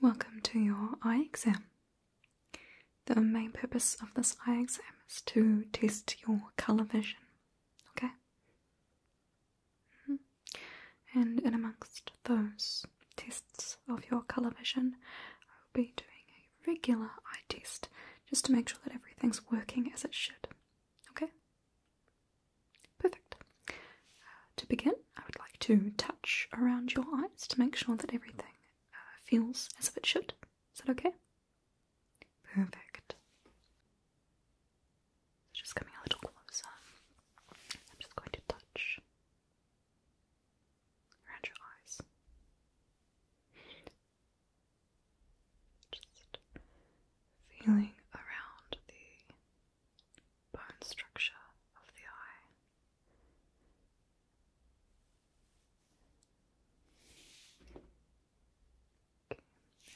Welcome to your eye exam. The main purpose of this eye exam is to test your color vision. Okay? Mm-hmm. And in amongst those tests of your colour vision, I will be doing a regular eye test just to make sure that everything's working as it should. Okay? Perfect. Uh, to begin, I would like to touch around your eyes to make sure that everything uh, feels as if it should. Is that okay? Perfect. Just coming a little closer. I'm just going to touch around your eyes. Just feeling around the bone structure of the eye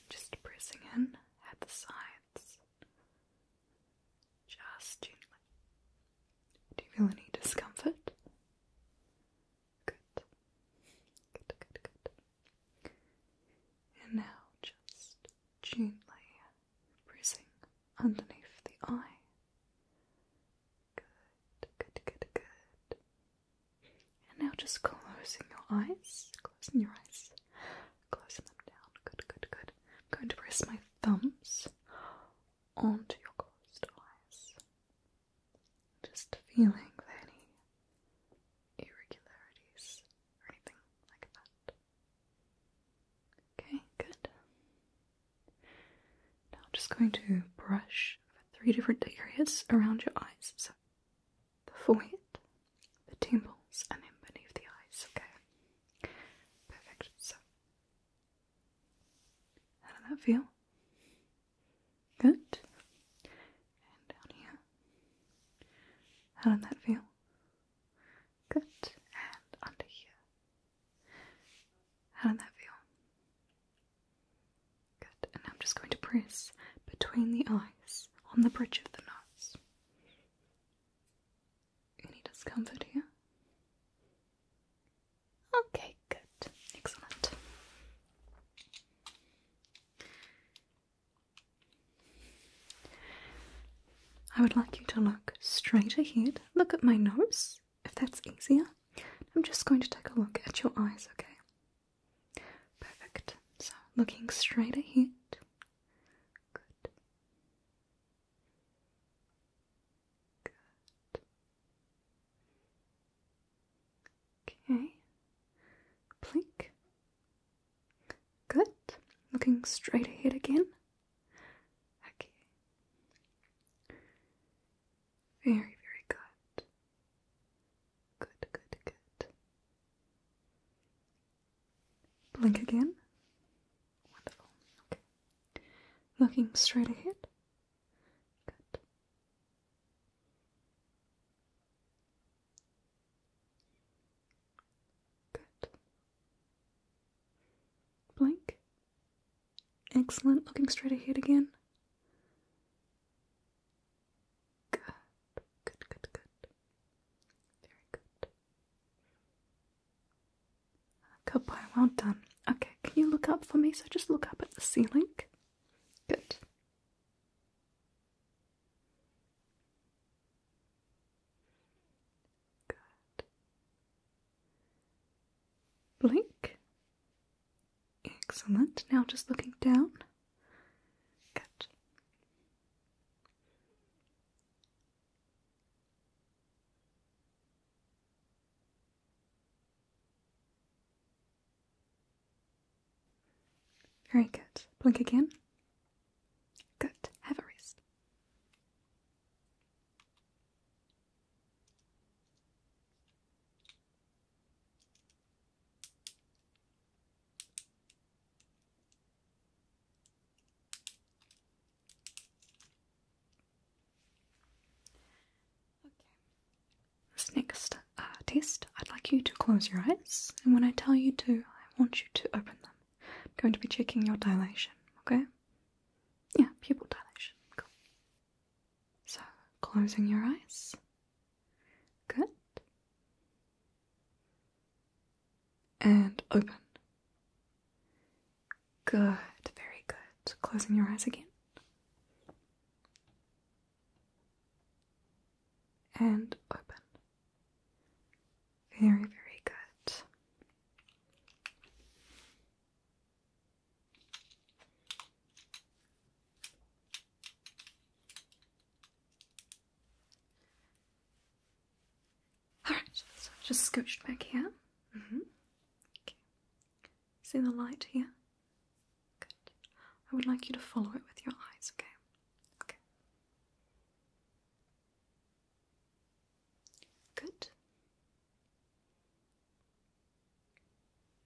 just pressing in at the sides, just gently. Do you feel any discomfort? Good, good, good, good. And now just gently pressing underneath the eye. Good, good, good, good. And now just closing your eyes, closing your eyes, closing them down. Good, good, good. I'm going to press my thumbs onto your closed eyes. Just feeling for any irregularities or anything like that. Okay, good. Now I'm just going to brush three different areas around your eyes. So the forehead, the temples, and then beneath the eyes. Okay, perfect. So, how did that feel? Good. And down here. How did that feel? Good. And under here. How did that feel? Good, and I'm just going to press between the eyes on the bridge of the nose. Any discomfort here? Okay, good. Excellent. I would like you to look straight ahead. Look at my nose, if that's easier. I'm just going to take a look at your eyes, okay? Perfect. So, looking straight ahead. Good. Good. Okay. Blink. Good. Looking straight ahead again. Okay. Very, very good. Good, good, good. Blink again. Wonderful. Okay. Looking straight ahead. Good. Good. Blink. Excellent. Looking straight ahead again. Good, good, good, good. Very good. Good boy, well done. Okay, can you look up for me? So just look up at the ceiling. Good. Good. Blink. Excellent. Now just looking down. Good. Very good. Blink again. Good. Have a rest. This next uh, test, I'd like you to close your eyes, and when I tell you to, I want you to open them. I'm going to be checking your dilation, okay? Yeah, pupil dilation. Cool. So, closing your eyes. Good. And open. Good, very good. Closing your eyes again. And open. Very, very good. Alright, so just scooched back here. Mm-hmm. okay. See the light here? Good. I would like you to follow it with your eyes, okay? Okay. Good.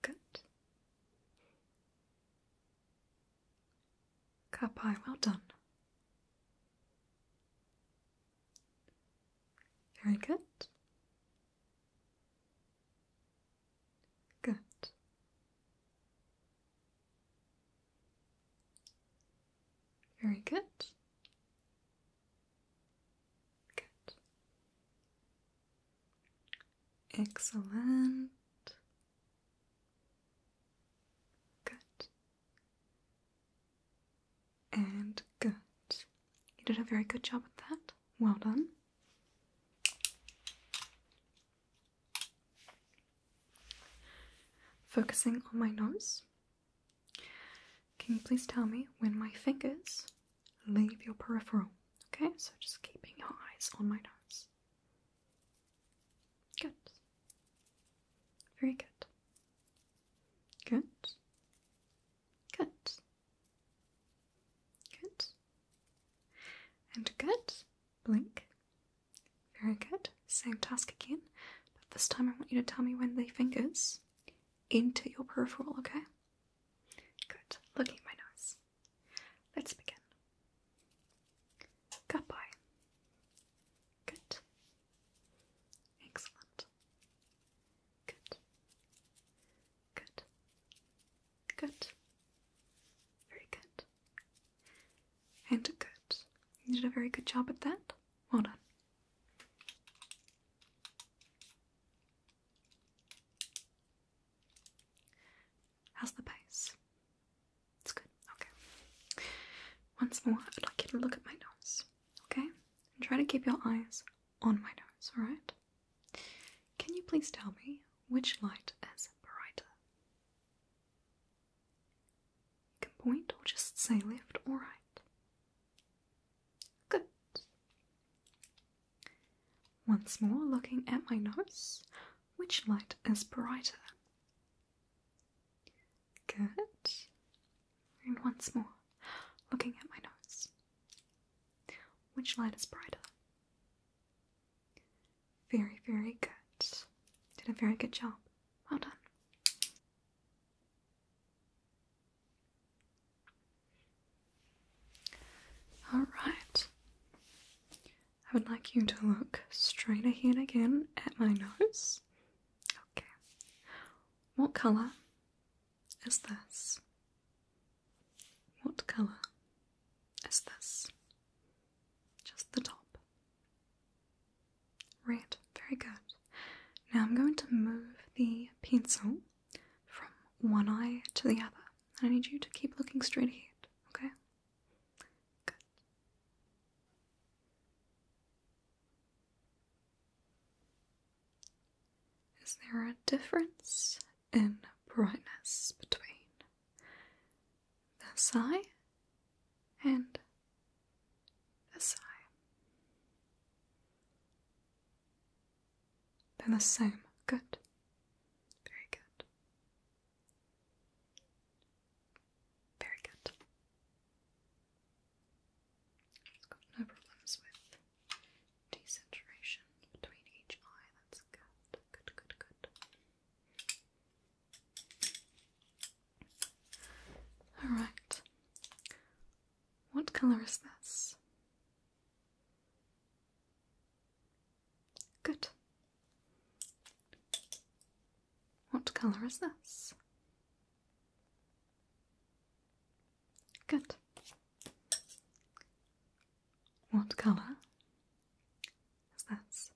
Good. Kapai, well done. Very good. Good. Very good. Good. Excellent. Good. And good. You did a very good job at that. Well done. Focusing on my nose. Can you please tell me when my fingers leave your peripheral. Okay, so just keeping your eyes on my nose. Good. Very good. Good. Good. Good. And good. Blink. Very good. Same task again, but this time I want you to tell me when the fingers enter your peripheral, okay? Good. Look at my nose. Let's begin. Goodbye. Good. Excellent. Good. Good. Good. Very good. And good. You did a very good job at that. Well done. How's the pace? It's good. Okay. Once more, I'd like you to look at my nose. Okay? And try to keep your eyes on my nose, alright? Can you please tell me which light is brighter? You can point or just say left or right. Good. Once more looking at my nose, which light is brighter? Good. And once more looking at my nose, which light is brighter? Very, very good. Did a very good job. Well done. Alright. I would like you to look straight ahead again at my nose. Okay. What colour is this? What colour is this? Just the top. Red. Very good. Now I'm going to move the pencil from one eye to the other. and I need you to keep looking straight ahead, okay? Good. Is there a difference in brightness between this eye and this eye? They're the same. Good. Very good. Very good. It's got no problems with desaturation between each eye. That's good. Good, good, good. Alright. What colour is this? Good. What colour is this? Good. What colour is this?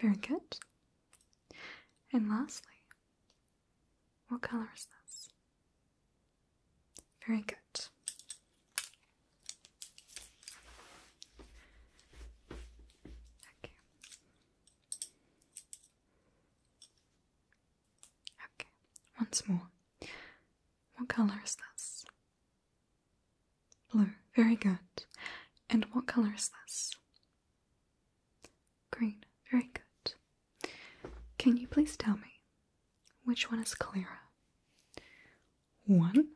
Very good. And lastly, what colour is this? Very good. Okay. Okay, once more. What color is this? Blue. Very good. And what color is this? Green. Very good. Can you please tell me which one is clearer? One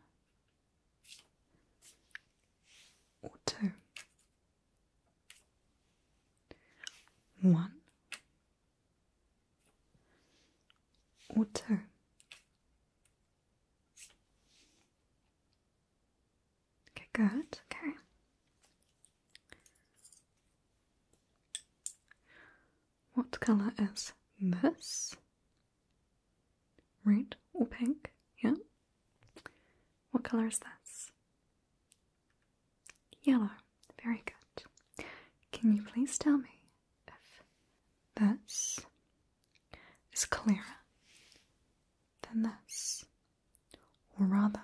or two? One or two? Okay, good. Okay. What colour is this? Red or pink? Yeah. What colour is this? Yellow. Very good. Can you please tell me if this is clearer than this? Or rather,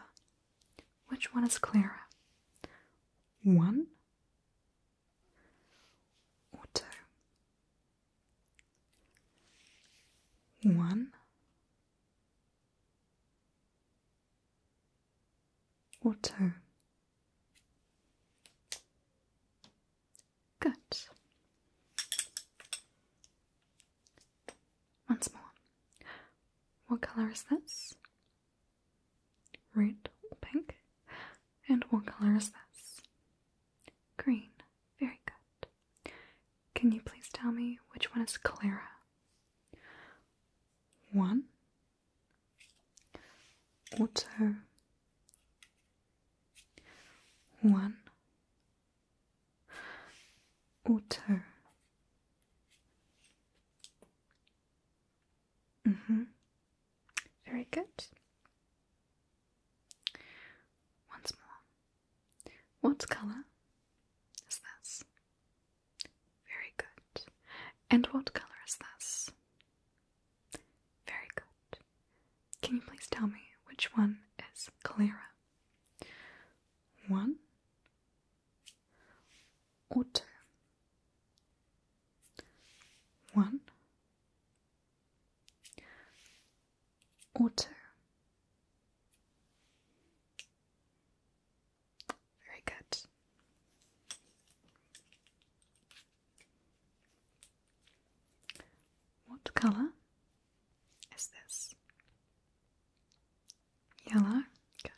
which one is clearer? One Auto. One. Auto. Good. Once more. What colour is this? Red or pink? And what color is this? Green. Very good. Can you please tell me which one is Clara? One. Or One. Or Mm-hmm. Very good. Once more. What colour is this? Very good. And what colour is this? Very good. Can you please tell me which one is clearer? One or two? One. Or two. Very good. What colour is this? Yellow. Good.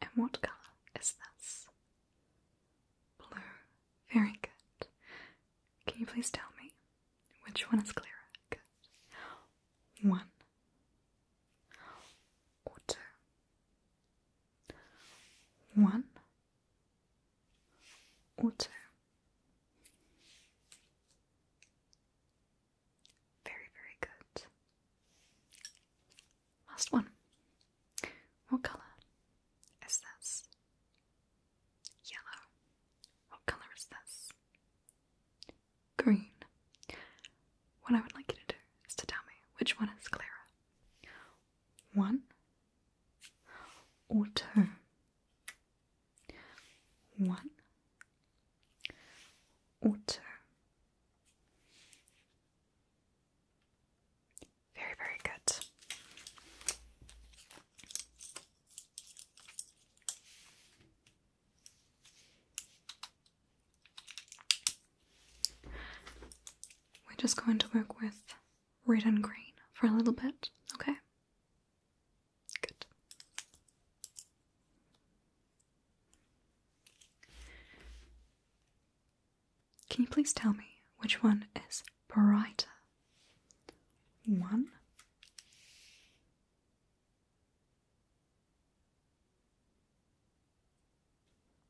And what colour is this? Blue. Very good. Can you please tell me which one is clearer? One. Or two. One. two. Very, very good. Last one. What colour is this? Yellow. What colour is this? Green. What I would like you to do is to tell me which one is Clara. One Auto. One Auto. Very, very good. We're just going to work with red and green for a little bit, okay? Good. Can you please tell me which one is brighter? One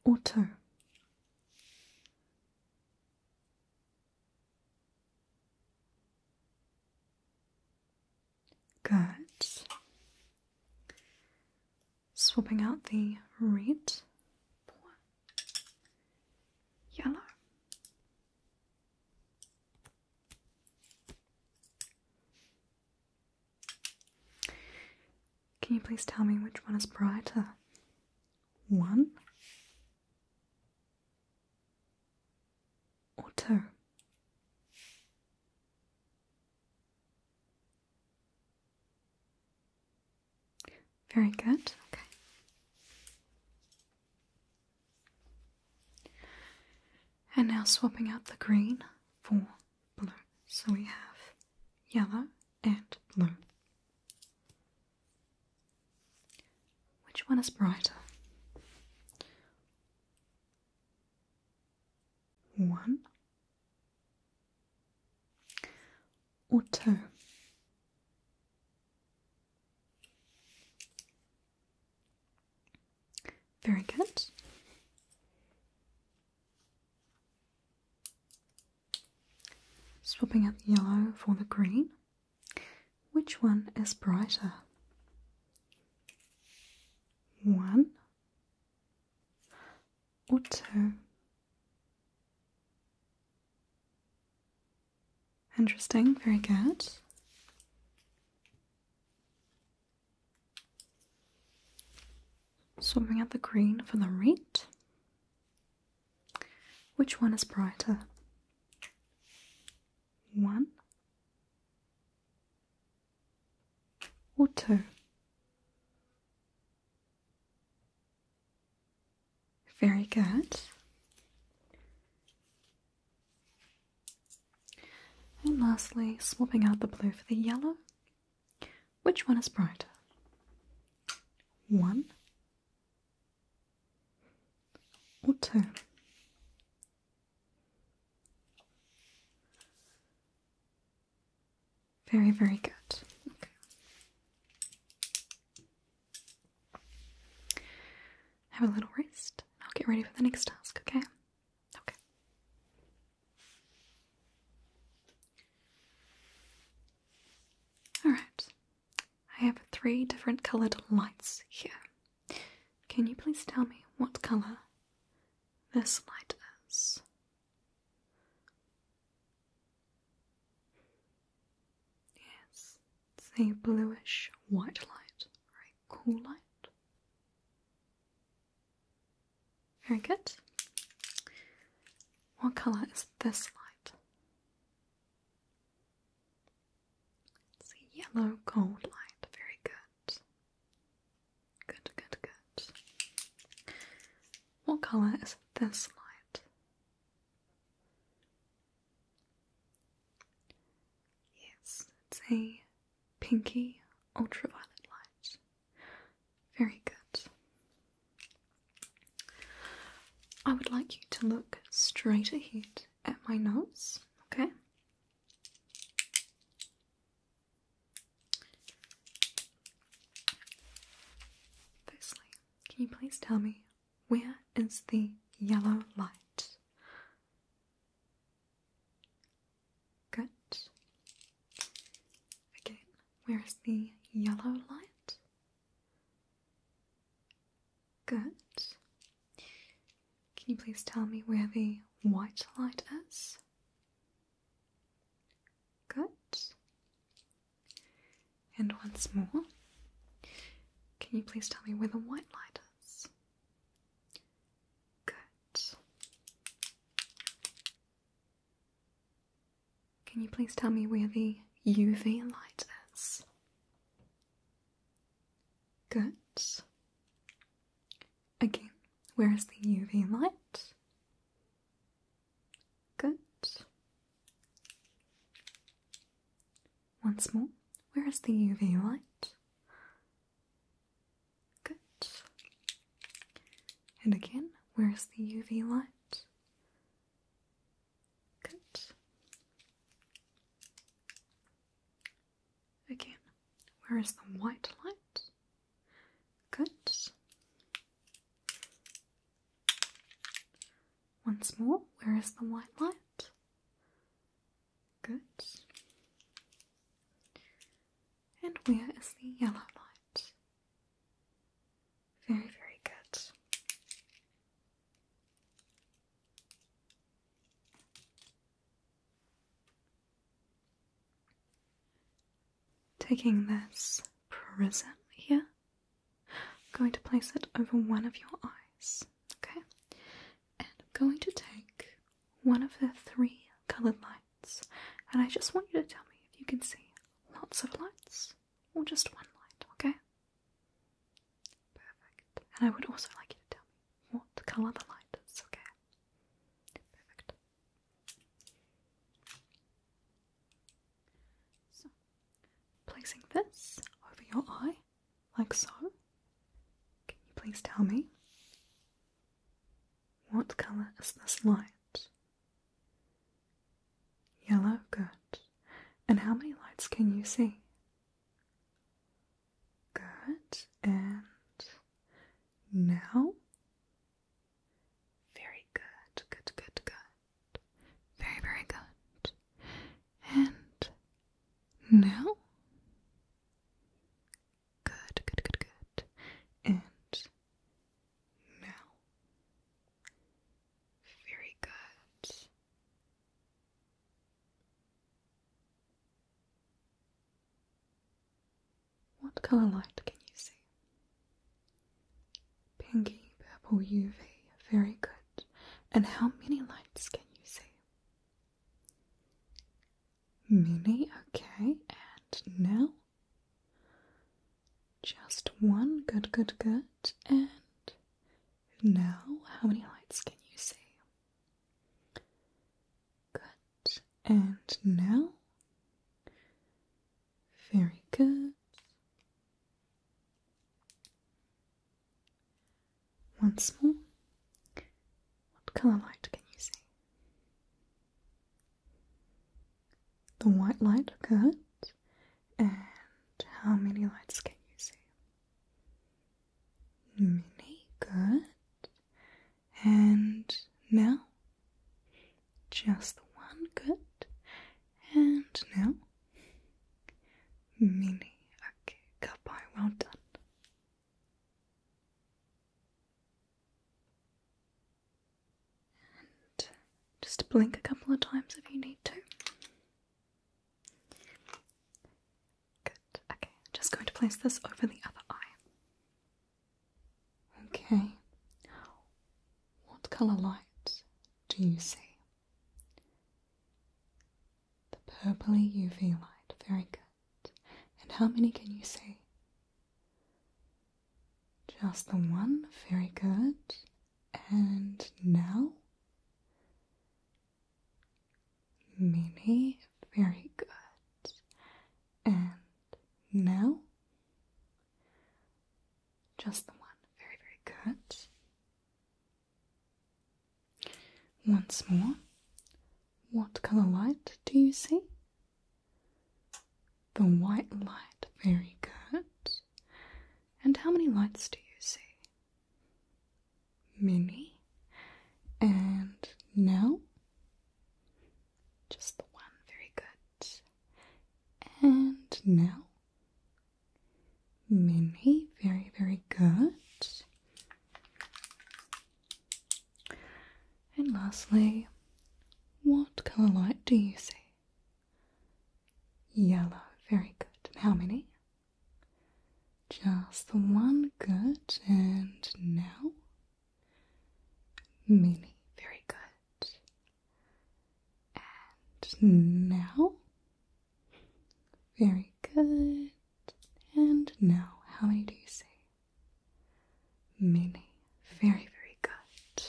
or two? Good swapping out the red yellow. Can you please tell me which one is brighter? One or two? Very good. Okay. And now swapping out the green for blue. So we have yellow and blue. Which one is brighter? One Otto very good. Swapping out the yellow for the green. Which one is brighter? One Water. Interesting, very good. So bring out the green for the red. Which one is brighter? One or two? Very good. And lastly, swapping out the blue for the yellow. Which one is brighter? One or two? Very, very good. Okay. Have a little rest. I'll get ready for the next task, okay? Okay. Alright. I have three different coloured lights here. Can you please tell me what colour this light is? Yes, it's a bluish white light or cool light. Very good. What colour is this light? It's a yellow gold light. Very good. Good, good, good. What colour is this light? Yes, it's a pinky ultraviolet light. Very good. I would like you to look straight ahead at my nose, okay? Firstly, can you please tell me where is the yellow light? Good. Again, where is the yellow light? Good. Can you please tell me where the white light is? Good. And once more, can you please tell me where the white light is? Good. Can you please tell me where the UV light is? Good. Again, where is the UV light? Good. Once more, where is the UV light? Good. And again, where is the UV light? Good. Again, where is the white light? Good. Once more, where is the white light? Good. And where is the yellow light? Very, very good. Taking this prism here, going to place it over one of your eyes, okay? And I'm going to take one of the three coloured lights, and I just want you to tell me if you can see lots of lights or just one light, okay? Perfect. And I would also like you to tell me what colour the light is, okay? Perfect. So, placing this over your eye, like so, can you please tell me what colour is this light? Yellow, good. And how many lights can you see? Good. And now very good, good, good, good. Very, very good. And now? Good, good, good, good. And now? Very good. What colour light can you see? Pinky, purple UV, very good. And how many lights can you see? Many, okay, and now? Just one, good, good, good. And now, how many lights can you see? Good, and now. Very good. Once more. What colour light can you see? The white light good. and how many lights can you see? Many, good. And now, just one good. And now, mini. Okay, goodbye. Well done. And just blink a couple of times if you need to. Good. Okay, just going to place this over the other eye. Okay. What colour light do you see? The purpley UV light, very good. And how many can you see? Just the one, very good. And now? Mimi, very good. And now, Just the one. Very, very good. Once more. What color light do you see? The white light. Very good. And how many lights do you see? Many. And now? Just the one, very good. And now, many, very, very good. And lastly, what colour light do you see? Yellow, very good. How many? Just the one, good. And now, Many, very good. And now, very good. And now, how many do you say? Many, very, very good.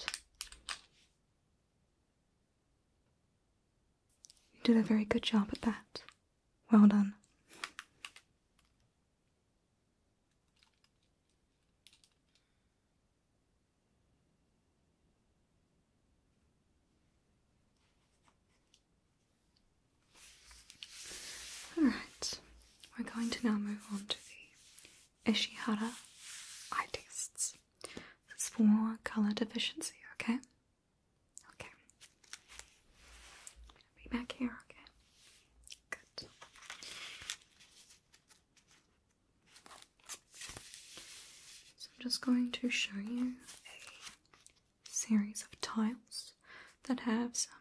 You did a very good job at that. Well done. Alright, we're going to now move on to the Ishihara eye tests. It's for color deficiency, okay? Okay be back here, okay? Good. So I'm just going to show you a series of tiles that have some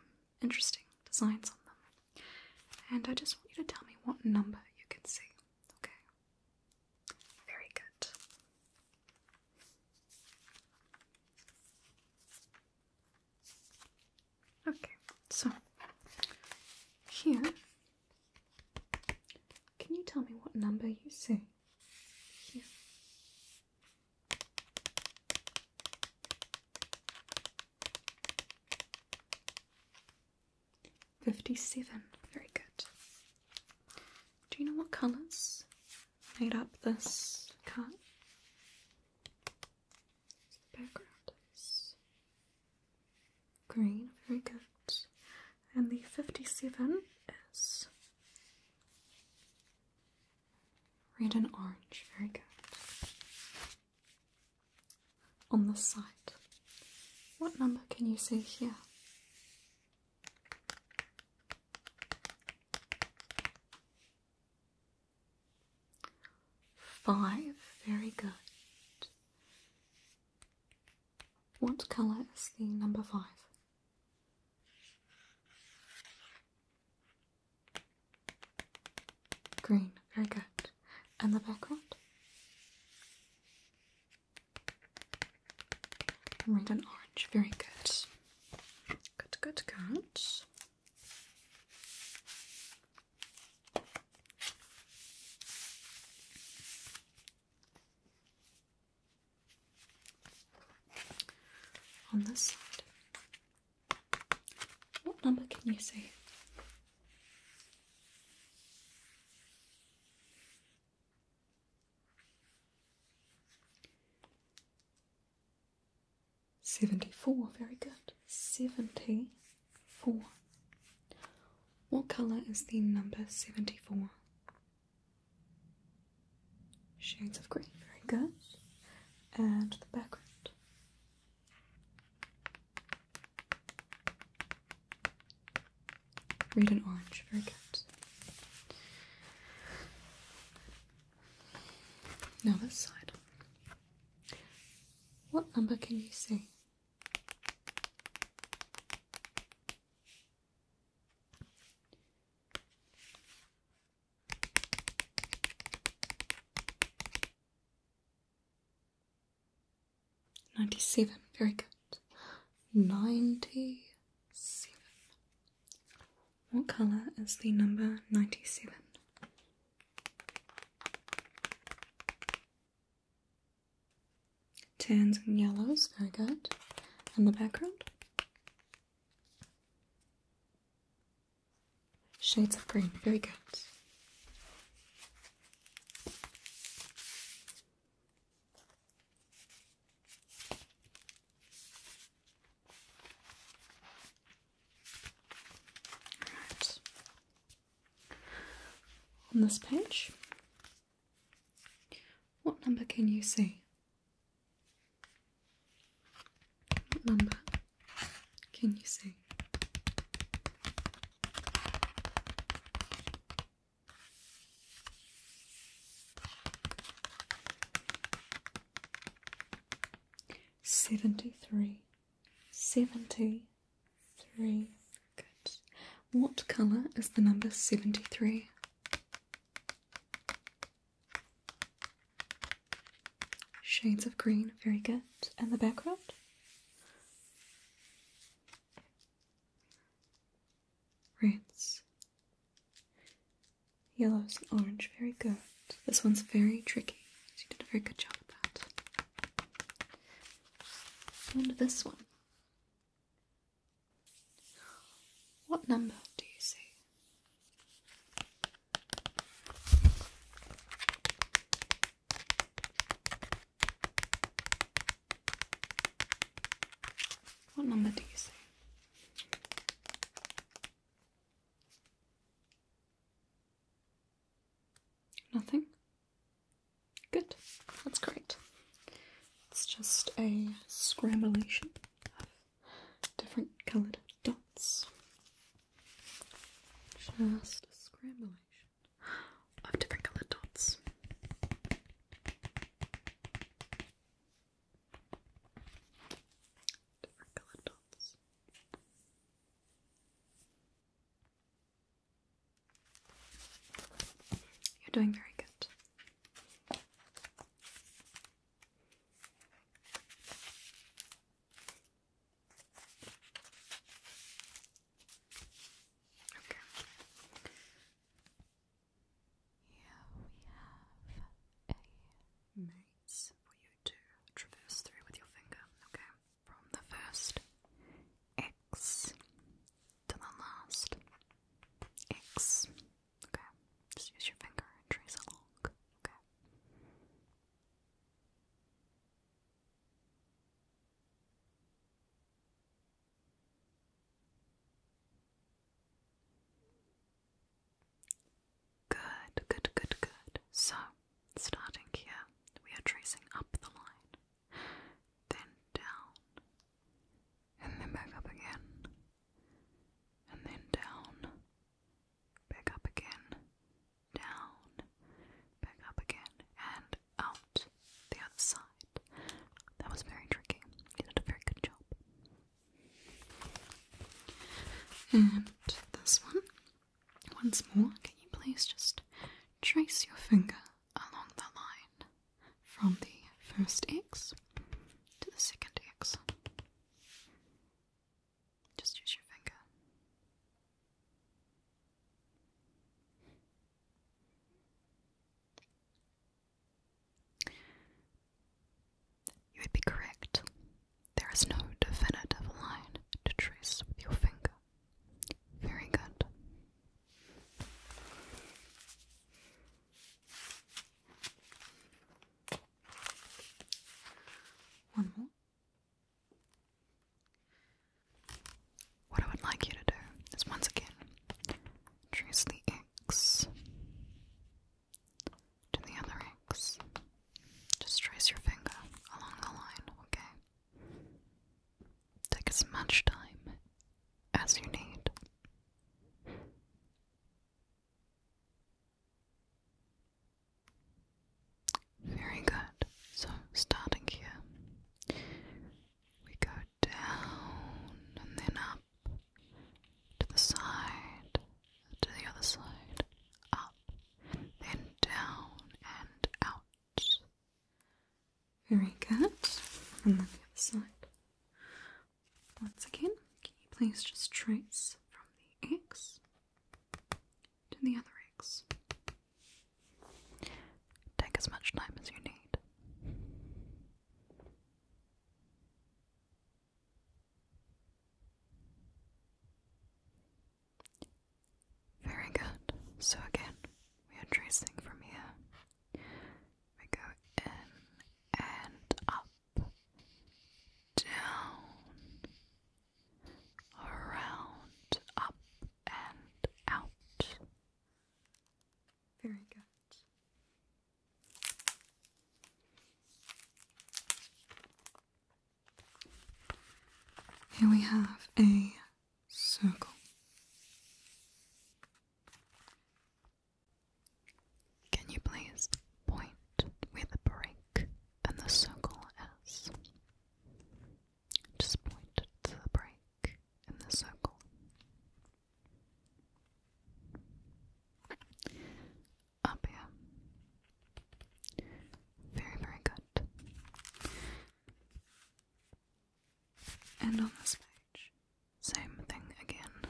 interesting designs on them. And I just want you to tell me what number you can see, okay? Very good. Okay, so here, can you tell me what number you see? Fifty-seven. Very good. Do you know what colours made up this card? green, very good. And the 57 is red and orange, very good. On the side, what number can you see here? Five. Very good. What color is the number five? Green. Very good. And the background? Red and orange. Very good. Good, good, good. On this side. What number can you see? 74, very good. 74. What colour is the number 74? Shades of green, very good. And the background. Red and orange, very good. Now this side. What number can you see? Ninety seven, very good. Ninety seven. What colour is the number ninety seven? Tans and yellows, very good. And the background? Shades of green, very good. On this page, what number can you see? What number can you see? Seventy three. 73. Good. What colour is the number 73? Shades of green, very good. And the background? Reds, yellows, orange, very good. This one's very tricky. you did a very good job with that. And this one. What number do you see? What number do you see? Nothing? Good, that's great. It's just a scramblation of different coloured dots. Just a scramblation of different coloured dots. Different coloured dots. You're doing very good. Okay. Here we have a mace for to traverse through with your finger, okay? From the first X to the last X, okay? Just use your finger and trace along, Okay, Good, good, good, good. So, starting here, we are tracing up the line, then down, and then back up again, and then down, back up again, down, back up again, and out the other side. That was very tricky. You did a very good job. And this one once more, can you please just trace your finger along the line from the first X to the second X? Just use your finger. You would be correct. There is no definitive line to trace with your finger. Very good. One more. What I would like you to do is once again trace the X to the other X. Just trace your finger along the line, okay? Take as much time as you need. Very good. So, starting here, we go down and then up to the side, to the other side, up then down and out. Very good. And then the other side. Once again, can you please just trace from the X to the other X? Take as much time as you need. Very good. So again, we are tracing from here. We go in and up, down, around, up and out. Very good. Here we have a circle. Can you please point where the break and the circle is? Just point to the break in the circle up here. Very, very good. And on this page, same thing again.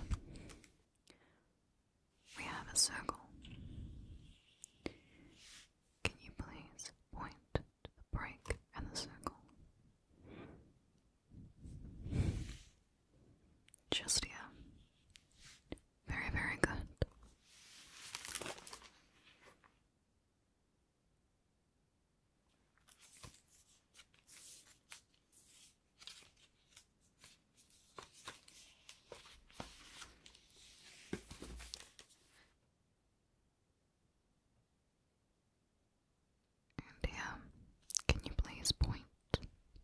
We have a circle. Can you please point the break and the circle? Just here. Very, very good. And yeah, can you please point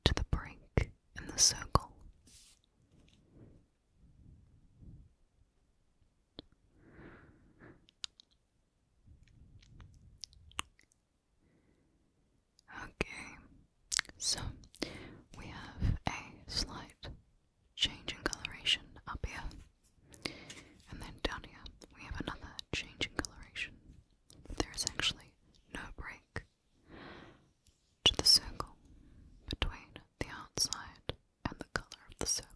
to the break in the circle? Okay, so we have a slight change in coloration up here, and then down here we have another change in coloration. There is actually no break to the circle between the outside and the color of the circle.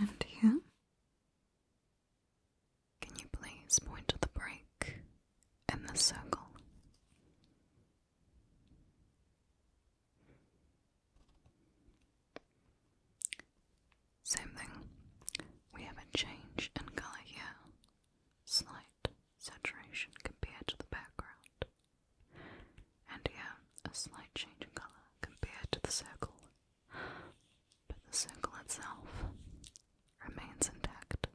And here, can you please point to the break in the circle? Same thing. We have a change in color here. Slight saturation compared to the background. And yeah, a slight change in color compared to the circle. But the circle itself remains intact.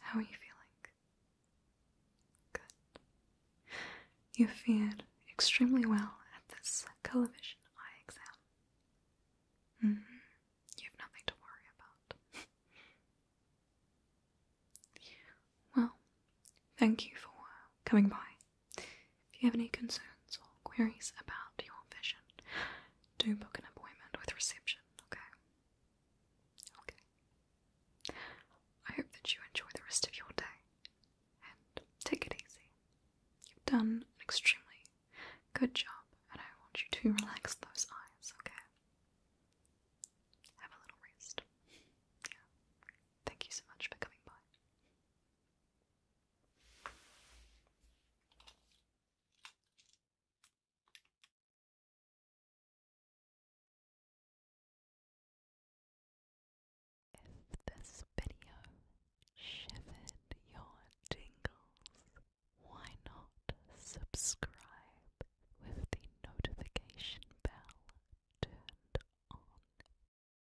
How are you feeling? Good. You fared extremely well at this colovision eye exam. Mm-hmm. You have nothing to worry about. well, thank you for coming by if you have any concerns or queries about your vision, do book an appointment with reception, okay? Okay. I hope that you enjoy the rest of your day and take it easy. You've done an extremely good job, and I want you to relax those eyes, okay? Have a little rest. Yeah. Thank you so much for coming by. If this video shivered your tingles, why not subscribe with the notification bell turned on?